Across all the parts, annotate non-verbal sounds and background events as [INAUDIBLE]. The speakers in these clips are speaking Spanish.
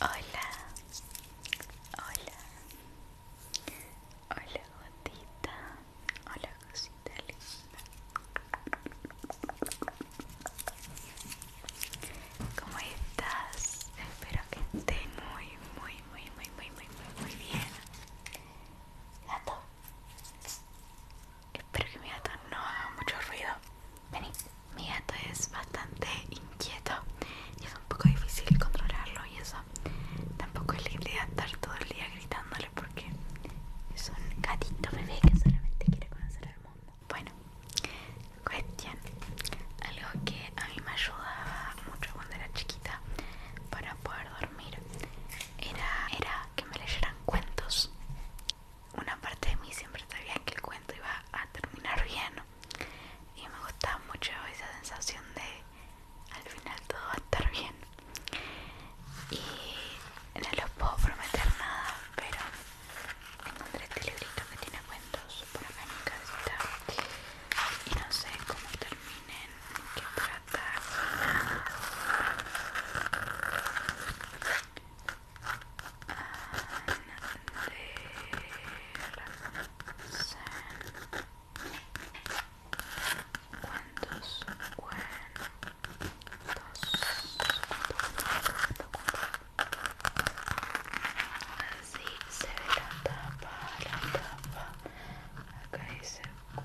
Hola, hola, hola gotita, hola cosita linda. ¿Cómo estás? Espero que esté muy, muy, muy, muy, muy, muy, muy, bien. Gato. Espero que mi gato no haga mucho ruido. Vení, mi gato es bastante inquieto y es un poco difícil controlarlo y eso. Tampoco es la idea estar todo el día gritándole porque es un gatito bebé que solamente quiere conocer el mundo. Bueno, cuestión. Algo que a mí me ayudaba mucho cuando era chiquita para poder dormir era, era que me leyeran cuentos. Una parte de mí siempre sabía que el cuento iba a terminar bien y me gustaba mucho esa sensación de al final todo va a estar bien. Y no les puedo prometer nada, pero encontré este librito que tiene cuentos por en mi casita y no sé cómo terminen que tratar cuántos cuántos así se ve la tapa la tapa cuentos.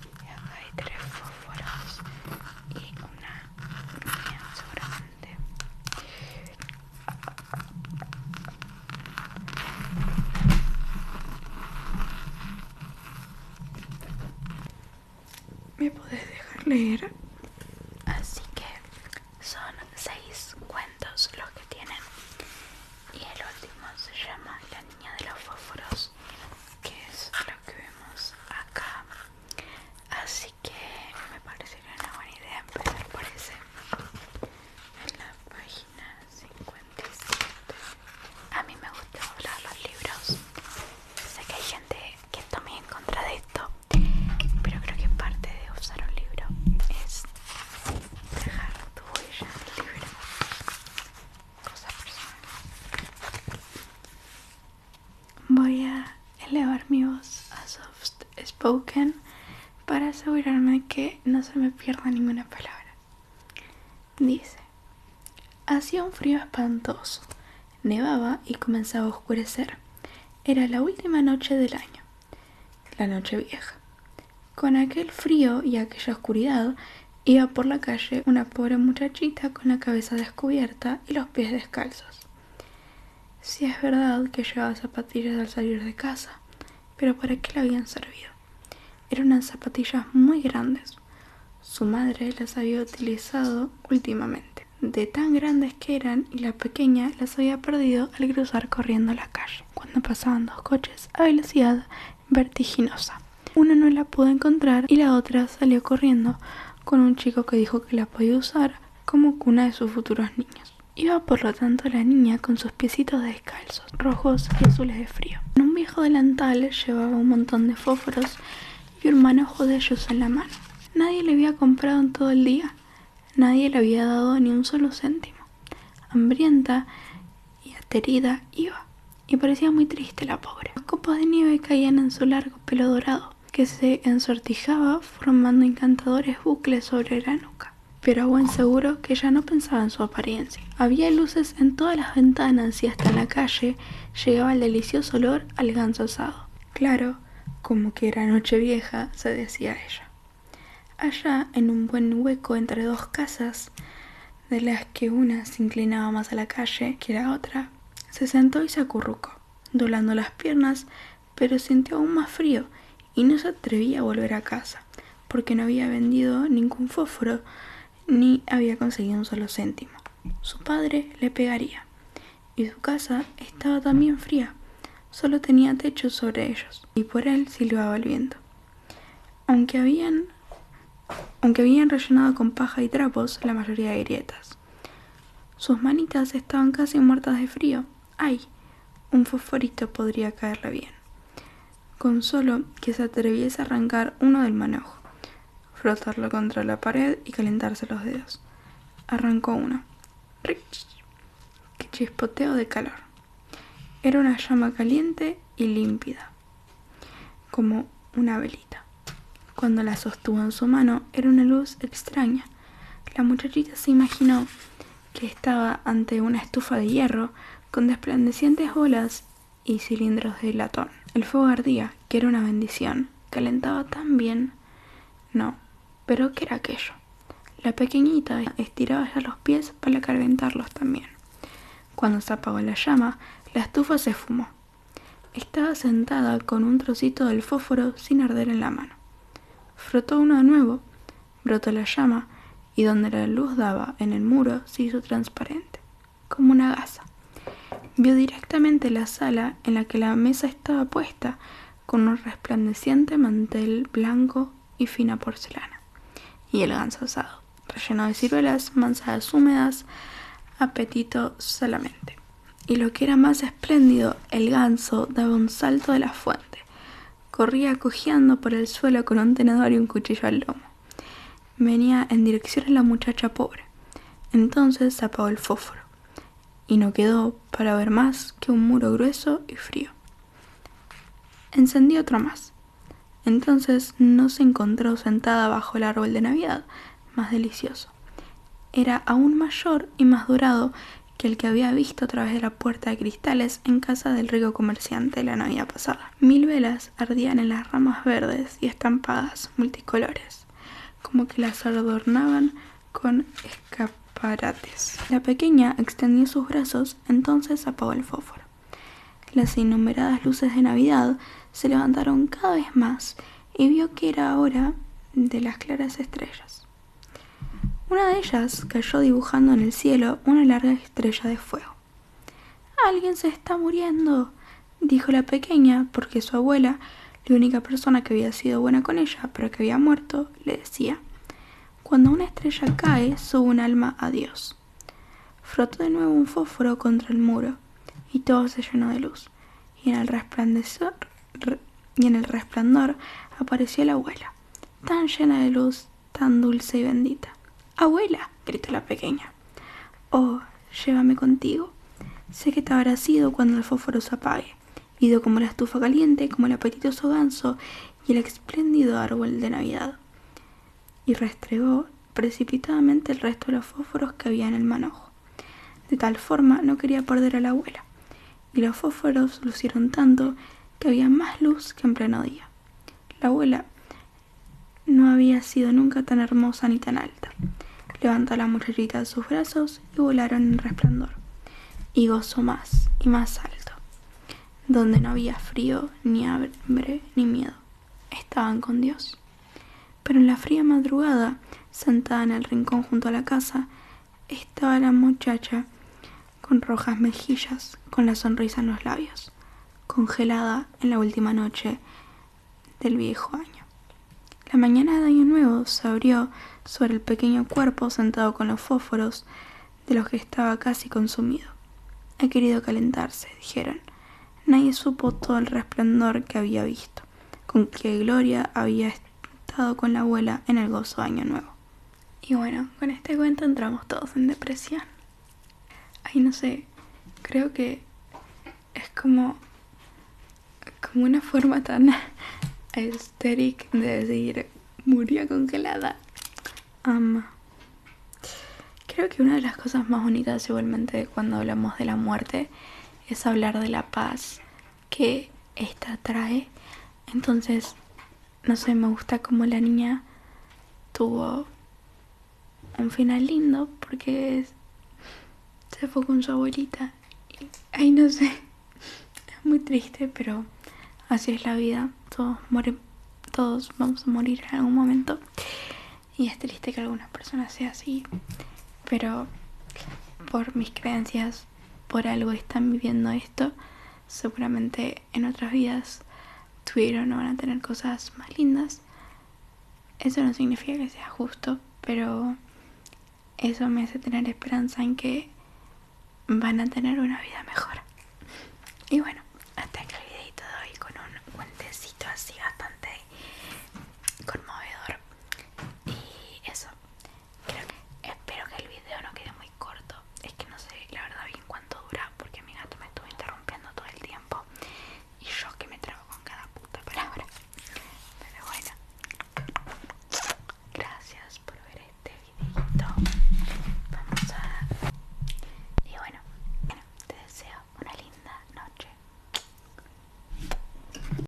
Y acá hay tres fósforos y una mía sobrante ¿Me podés dejar leer? Así que son seis cuentos los que tienen. Y el último se llama La Niña de los Fósforos, que es lo que vemos acá. Así que me parecería una buena idea empezar por ese. En la página 57. A mí me gusta hablar los libros. Sé que hay gente que también en contra de pero creo que parte de usar un libro es dejar tu huella en libro cosa personal voy a elevar mi voz a soft spoken para asegurarme que no se me pierda ninguna palabra dice hacía un frío espantoso nevaba y comenzaba a oscurecer era la última noche del año, la noche vieja. Con aquel frío y aquella oscuridad, iba por la calle una pobre muchachita con la cabeza descubierta y los pies descalzos. Si es verdad que llevaba zapatillas al salir de casa, pero ¿para qué le habían servido? Eran unas zapatillas muy grandes. Su madre las había utilizado últimamente de tan grandes que eran y la pequeña las había perdido al cruzar corriendo la calle, cuando pasaban dos coches a velocidad vertiginosa. Una no la pudo encontrar y la otra salió corriendo con un chico que dijo que la podía usar como cuna de sus futuros niños. Iba por lo tanto la niña con sus piecitos descalzos, rojos y azules de frío. En un viejo delantal llevaba un montón de fósforos y un manojo de ellos en la mano. Nadie le había comprado en todo el día, nadie le había dado ni un solo céntimo. Hambrienta y aterida iba, y parecía muy triste la pobre. Los copos de nieve caían en su largo pelo dorado, que se ensortijaba formando encantadores bucles sobre la nuca. Pero a buen seguro que ya no pensaba en su apariencia. Había luces en todas las ventanas y hasta en la calle llegaba el delicioso olor al ganso asado. Claro, como que era noche vieja, se decía ella. Allá, en un buen hueco entre dos casas, de las que una se inclinaba más a la calle que la otra, se sentó y se acurrucó, dolando las piernas, pero sintió aún más frío y no se atrevía a volver a casa, porque no había vendido ningún fósforo ni había conseguido un solo céntimo. Su padre le pegaría. Y su casa estaba también fría. Solo tenía techos sobre ellos. Y por él silbaba el viento. Aunque habían, aunque habían rellenado con paja y trapos la mayoría de grietas. Sus manitas estaban casi muertas de frío. ¡Ay! Un fosforito podría caerle bien. Con solo que se atreviese a arrancar uno del manojo frotarlo contra la pared y calentarse los dedos. Arrancó uno. ¡Rich! ¡Qué chispoteo de calor! Era una llama caliente y límpida, como una velita. Cuando la sostuvo en su mano era una luz extraña. La muchachita se imaginó que estaba ante una estufa de hierro con desplandecientes olas, y cilindros de latón. El fuego ardía, que era una bendición. Calentaba tan bien. No, pero ¿qué era aquello? La pequeñita estiraba ya los pies para calentarlos también. Cuando se apagó la llama, la estufa se fumó. Estaba sentada con un trocito del fósforo sin arder en la mano. Frotó uno de nuevo, brotó la llama y donde la luz daba en el muro se hizo transparente como una gasa. Vio directamente la sala en la que la mesa estaba puesta con un resplandeciente mantel blanco y fina porcelana, y el ganso asado, relleno de ciruelas, manzanas húmedas, apetito solamente. Y lo que era más espléndido, el ganso daba un salto de la fuente, corría cojeando por el suelo con un tenedor y un cuchillo al lomo venía en dirección a la muchacha pobre. Entonces se el fósforo y no quedó para ver más que un muro grueso y frío. Encendió otro más. Entonces no se encontró sentada bajo el árbol de Navidad, más delicioso. Era aún mayor y más dorado que el que había visto a través de la puerta de cristales en casa del rico comerciante la Navidad pasada. Mil velas ardían en las ramas verdes y estampadas multicolores, como que las adornaban con escaparates. La pequeña extendió sus brazos, entonces apagó el fósforo. Las innumeradas luces de Navidad se levantaron cada vez más y vio que era hora de las claras estrellas. Una de ellas cayó dibujando en el cielo una larga estrella de fuego. Alguien se está muriendo, dijo la pequeña, porque su abuela, la única persona que había sido buena con ella, pero que había muerto, le decía, cuando una estrella cae, sube un alma a Dios. Frotó de nuevo un fósforo contra el muro, y todo se llenó de luz, y en el resplandor, y en el resplandor apareció la abuela, tan llena de luz tan dulce y bendita. Abuela, gritó la pequeña. Oh, llévame contigo. Sé que te habrá sido cuando el fósforo se apague, ido como la estufa caliente, como el apetitoso ganso y el espléndido árbol de Navidad. Y restregó precipitadamente el resto de los fósforos que había en el manojo. De tal forma no quería perder a la abuela, y los fósforos lucieron tanto que había más luz que en pleno día. La abuela no había sido nunca tan hermosa ni tan alta. Levantó a la muchachita de sus brazos y volaron en resplandor. Y gozó más y más alto, donde no había frío, ni hambre, ni miedo. Estaban con Dios. Pero en la fría madrugada, sentada en el rincón junto a la casa, estaba la muchacha con rojas mejillas, con la sonrisa en los labios, congelada en la última noche del viejo año. La mañana de Año Nuevo se abrió sobre el pequeño cuerpo sentado con los fósforos de los que estaba casi consumido. Ha querido calentarse, dijeron. Nadie supo todo el resplandor que había visto, con que Gloria había estado con la abuela en el gozo de Año Nuevo. Y bueno, con este cuento entramos todos en depresión. Ay, no sé, creo que es como, como una forma tan estéril [LAUGHS] de decir murió congelada. ama creo que una de las cosas más únicas igualmente cuando hablamos de la muerte es hablar de la paz que esta trae. Entonces, no sé, me gusta como la niña tuvo un final lindo porque se fue con su abuelita. Y, ay, no sé, [LAUGHS] es muy triste, pero así es la vida. Todos todos vamos a morir en algún momento. Y es triste que algunas personas sean así, pero por mis creencias por algo están viviendo esto, seguramente en otras vidas tuvieron o van a tener cosas más lindas. Eso no significa que sea justo, pero eso me hace tener esperanza en que van a tener una vida mejor. Y bueno, hasta aquí el videito de con un guantecito así bastante conmovedor. Y eso, espero que el video no quede muy corto. Es que no sé la verdad bien cuánto dura porque mi gato me estuvo interrumpiendo todo el tiempo. Y yo que me trago con cada puta palabra. Pero bueno. Gracias por ver este videito. Vamos a... Y bueno, te deseo una linda noche.